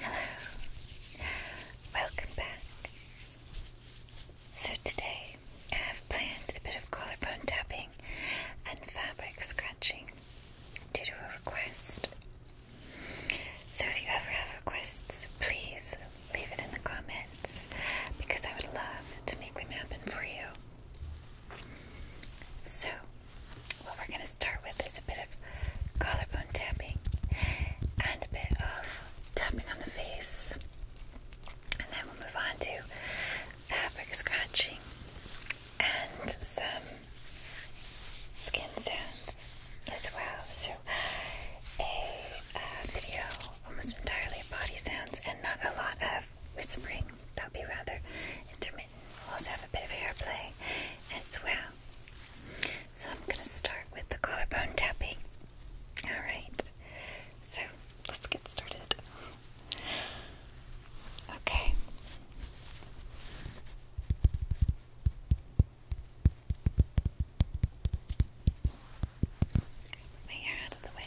Hello, welcome back. So today I have planned a bit of collarbone tapping and fabric scratching due to a request. So if you ever have requests, please leave it in the comments because I would love to make them happen for you. So what we're going to start with is a bit of collarbone tapping and a bit of tapping on the face. And then we'll move on to fabric scratching and some skin sounds as well. So, a video almost entirely of body sounds and not a lot of whispering. That'll be rather intermittent. We'll also have a bit of hair as well. So I'm going to start with the collarbone tapping. Alright, so let's get started. Okay. Move my hair out of the way.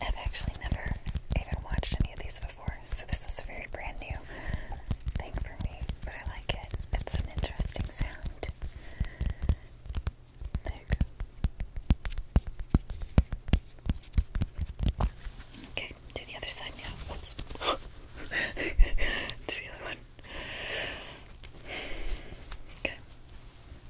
I've actually never even watched any of these before, so this is a very brand new thing for me, but I like it. It's an interesting sound. There you go. Okay, do the other side now. Whoops. do the other one. Okay.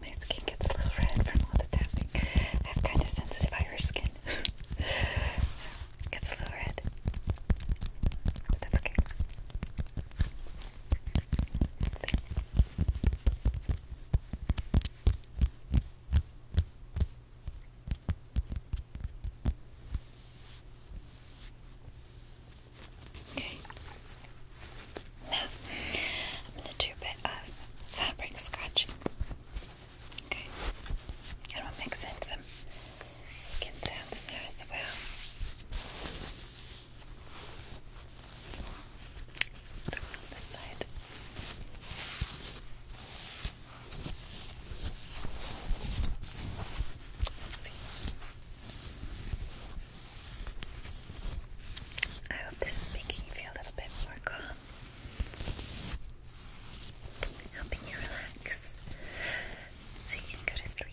My skin gets a little red from all the tapping. I have kind of sensitive Irish skin. so gets a little red. But that's okay. Okay. Now, I'm going to do a bit of fabric scratching. Okay, and we'll mix in some skin sounds in there as well. This side. see. I hope this is making you feel a little bit more calm, helping you relax so you can go to sleep.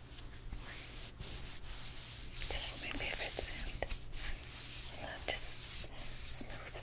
This is my favorite sound. I love just smooth.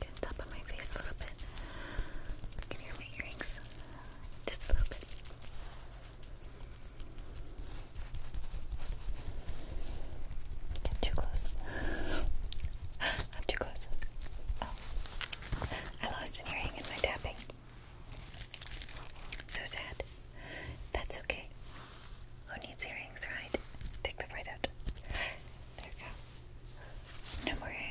Get top of my face a little bit. can hear my earrings just a little bit. Get too close. I'm too close. Oh. I lost an earring in my tapping. So sad. That's okay. Who needs earrings, right? Take them right out. There we go. No more earrings.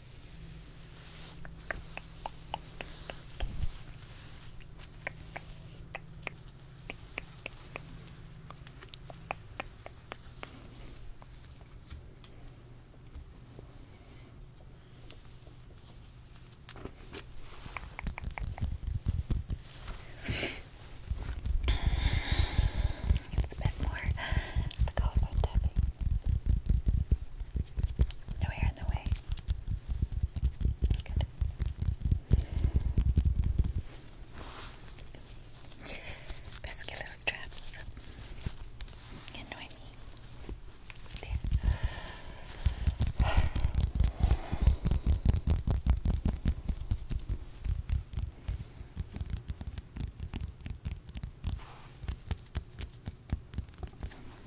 It's a bit more the color i no hair in the way. That's good. Best get little straps. You annoy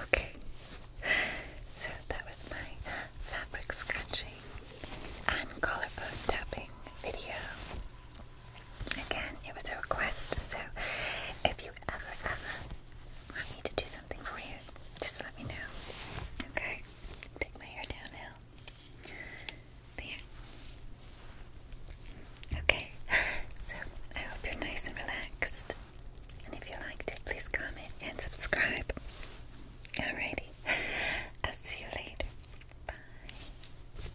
Okay, so that was my fabric scratching and collarbone tapping video. Again, it was a request, so if you ever, ever want me to do something for you, just let me know. Okay? Take my hair down now. There. Okay, so I hope you're nice and relaxed. And if you liked it, please comment and subscribe. Alrighty, I'll see you later. Bye.